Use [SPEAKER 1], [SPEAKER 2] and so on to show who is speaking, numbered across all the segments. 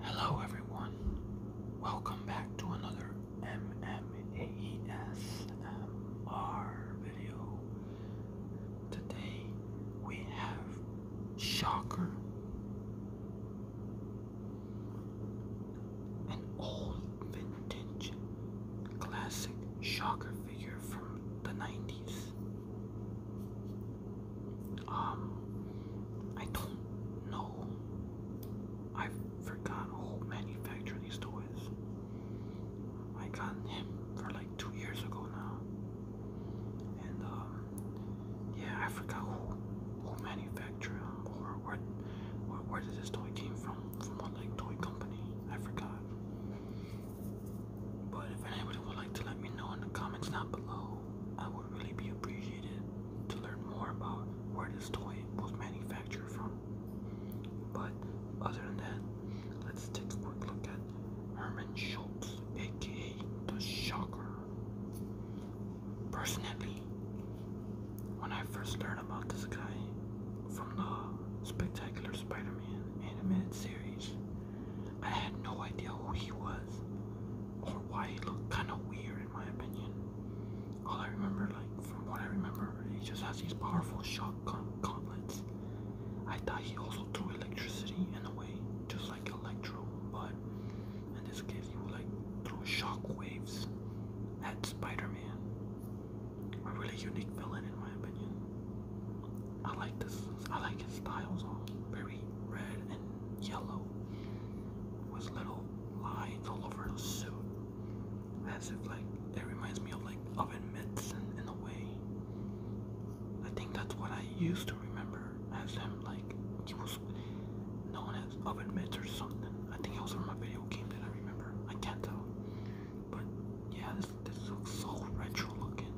[SPEAKER 1] Hello everyone, welcome back to another MMASMR video. Today we have Shocker, an old vintage classic Shocker figure from the 90s. Um, I don't know. I forgot who manufactured these toys. I got him for like two years ago now. And um, yeah, I forgot who who manufactured or what where, where did this toy came from? From what like toy company? I forgot. But if anybody would like to let me know in the comments down below I would really be appreciated to learn more about where this toy was manufactured from. But other than that, let's take a quick look at Herman Schultz, aka the Shocker. Personally, when I first learned about this guy from the Spectacular Spider-Man animated series, I had no idea who he was or why he looked kind of weird in my opinion. All I remember, like from what I remember, he just has these powerful shock gauntlets. I thought he also threw electricity in a way, just like Electro, but in this case he would like throw shock waves at Spider-Man. A really unique villain in my opinion. I like this. I like his styles all very red and yellow, with little lines all over the suit, as if like it reminds me of like oven mitts in, in a way. I think that's what I used to remember as him, like he was known as oven mitts or something. I think it was from a video game that I remember. I can't tell, but yeah, this this looks so retro looking.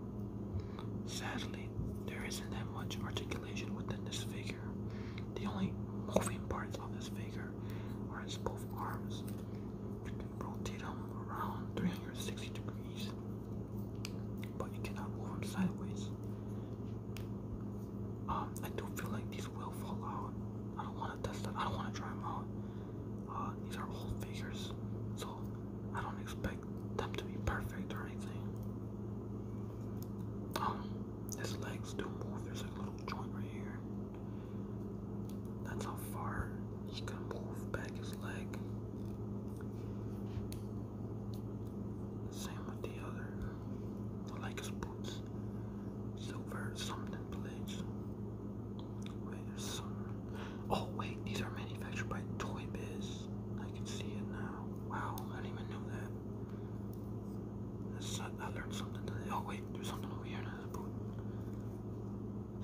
[SPEAKER 1] Sadly, there isn't that much articulation within this figure. The only moving parts of this figure are its both arms. Rotate him around 360 degrees, but you cannot move them sideways. Um, I do feel like these will fall out. I don't want to test them. I don't want to try them out. Uh, these are old figures, so I don't expect like them to be perfect or anything. Um, his legs do move. There's a little joint right here. That's how far he can move back his leg. Same with the other. like his boots. Silver something pledge. Wait, some. Oh wait, these are manufactured by Toy Biz. I can see it now. Wow, I didn't even know that. That's, I learned something today. Oh wait, there's something over here now.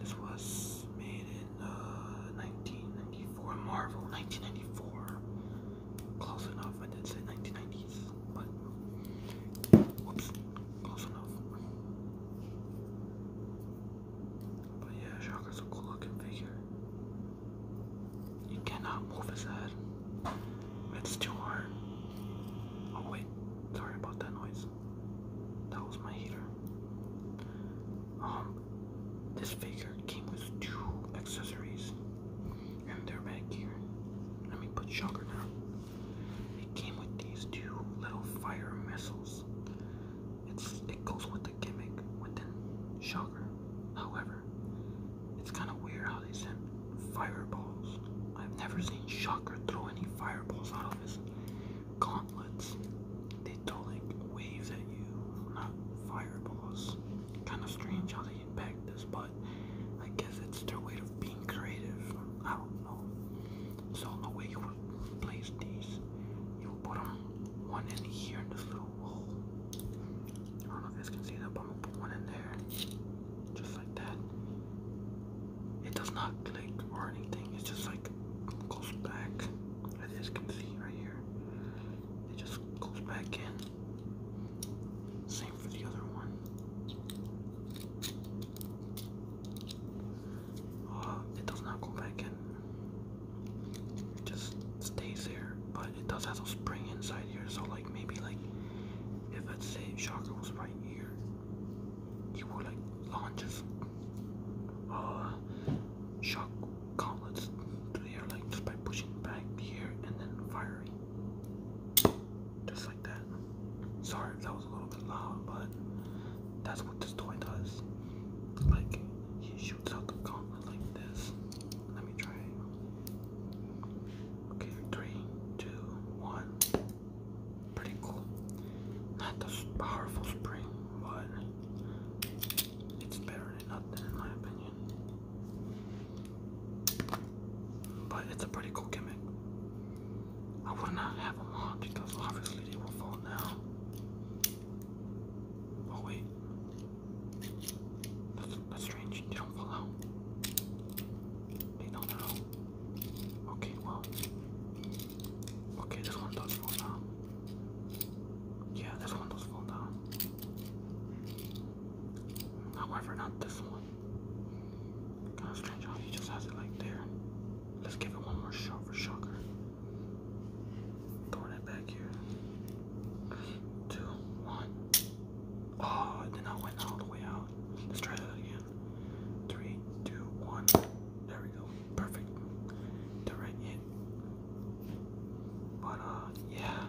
[SPEAKER 1] This was made in 1994. Uh, Marvel, 1994. Close enough. I did say 1990s, but close enough. But yeah, Shockers a cool looking figure. He cannot move his head. It's too hard. Oh wait, sorry about that noise. That was my heater. Um, this figure came with two accessories, and they're back here. Let me put shocker down. It came with these two little fire missiles. It's it goes with gimmick within Shocker. However, it's kind of weird how they sent fireballs. I've never seen Shocker throw any fireballs out of his gauntlets. They throw like waves at you, not fireballs. Kind of strange how they impact this, but I guess it's their way of being creative. I don't know. So the way you would place these, you would put them one in here in this little I don't know if you guys can see that, but I'm gonna put one in there. Just like that. It does not click or anything, it's just like goes back. As you guys can see right here. It just goes back in. Same for the other one. Uh, it does not go back in. It just stays there, but it does have a spring inside here. So like maybe like if let's say Shocker was right here, he would like launch his uh shock gauntlets to the air like just by pushing back here and then firing. Just like that. Sorry if that was a little bit loud, but that's what this toy does. Like, he shoots out the gauntlet like this, let me try. Okay, three, two, one. Pretty cool. Not the powerful spring, but it's better than nothing in my opinion. But it's a pretty cool gimmick. I would not have them on because obviously they will fall now. Oh wait, that's, that's strange. They don't fall out. They don't know. Okay, well. Okay, this one does fall down. Yeah, this one does fall down. However, not this one. Kind of strange how he just has it like there. Let's give it one more shot for shocker. Throwing it back here. Two, one. Oh, it did not all the way out. Let's try that again. Three, two, one. There we go. Perfect. The in. But uh, yeah.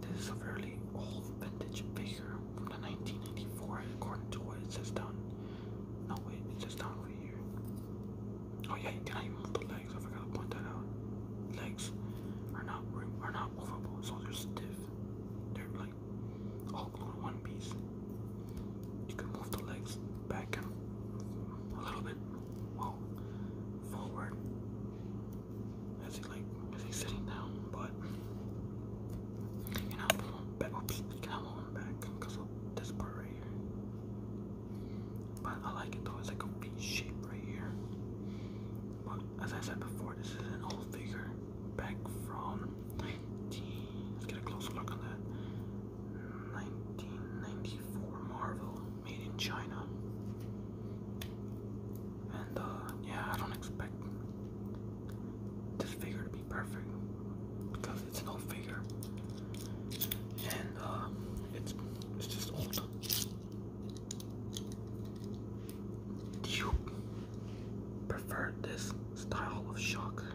[SPEAKER 1] This is a fairly old vintage figure from the 1984, according to what it says down. No wait, it says down for here. Oh yeah, did I even move the legs? I forgot to point that out. Legs are not are not movable, so they're stiff. They're like all glued one piece. You can move the legs back and a little bit, well, forward. As he like as he sitting down, but you know, back. Oops, you move back because of this part right here. But I like it though, it's like a V shape right here. But as I said before, this is an old figure back from 19. Let's get a closer look on that. 1994 Marvel, made in China. And uh, yeah, I don't expect this figure to be perfect because it's an old figure and uh, it's just old. Do you prefer this style of shocker,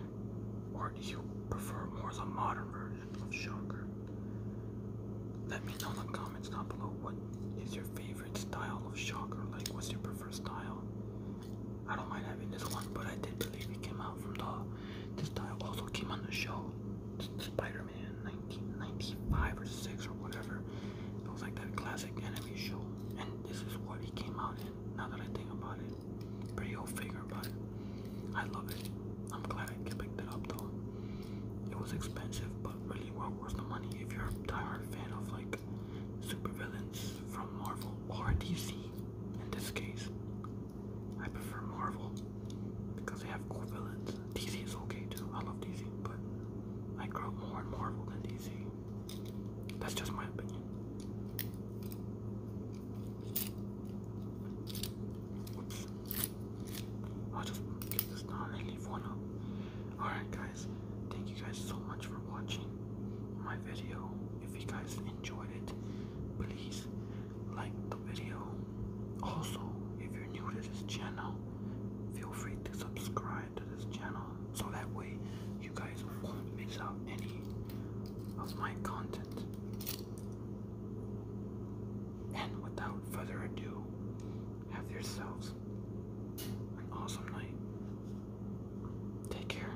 [SPEAKER 1] or do you prefer more the modern version of shocker? Let me know in the comments down below what is your favorite style of shocker. Like, what's your preferred style? I don't mind having this one, but I did believe it came out from the. This style also came on the show, Spider Spider-Man 1995 or 6 or whatever. It was like that classic anime show. And this is what he came out in, now that I think about it. Pretty old figure, but I love it. I'm glad I picked it up though. It was expensive, but really well worth the money if you're a diehard fan of like supervillains from Marvel or DC in this case. I prefer Marvel because they have cool villains. DC is okay too. I love DC, but I grow more in Marvel than DC. That's just my opinion. I'll just get this down and leave one up. Alright guys, thank you guys so much for watching my video. If you guys enjoyed it, please like the video. Also, if you're new to this channel, feel free to subscribe to this channel so that way you guys won't miss out any of my content. And without further ado, have yourselves an awesome night. Take care.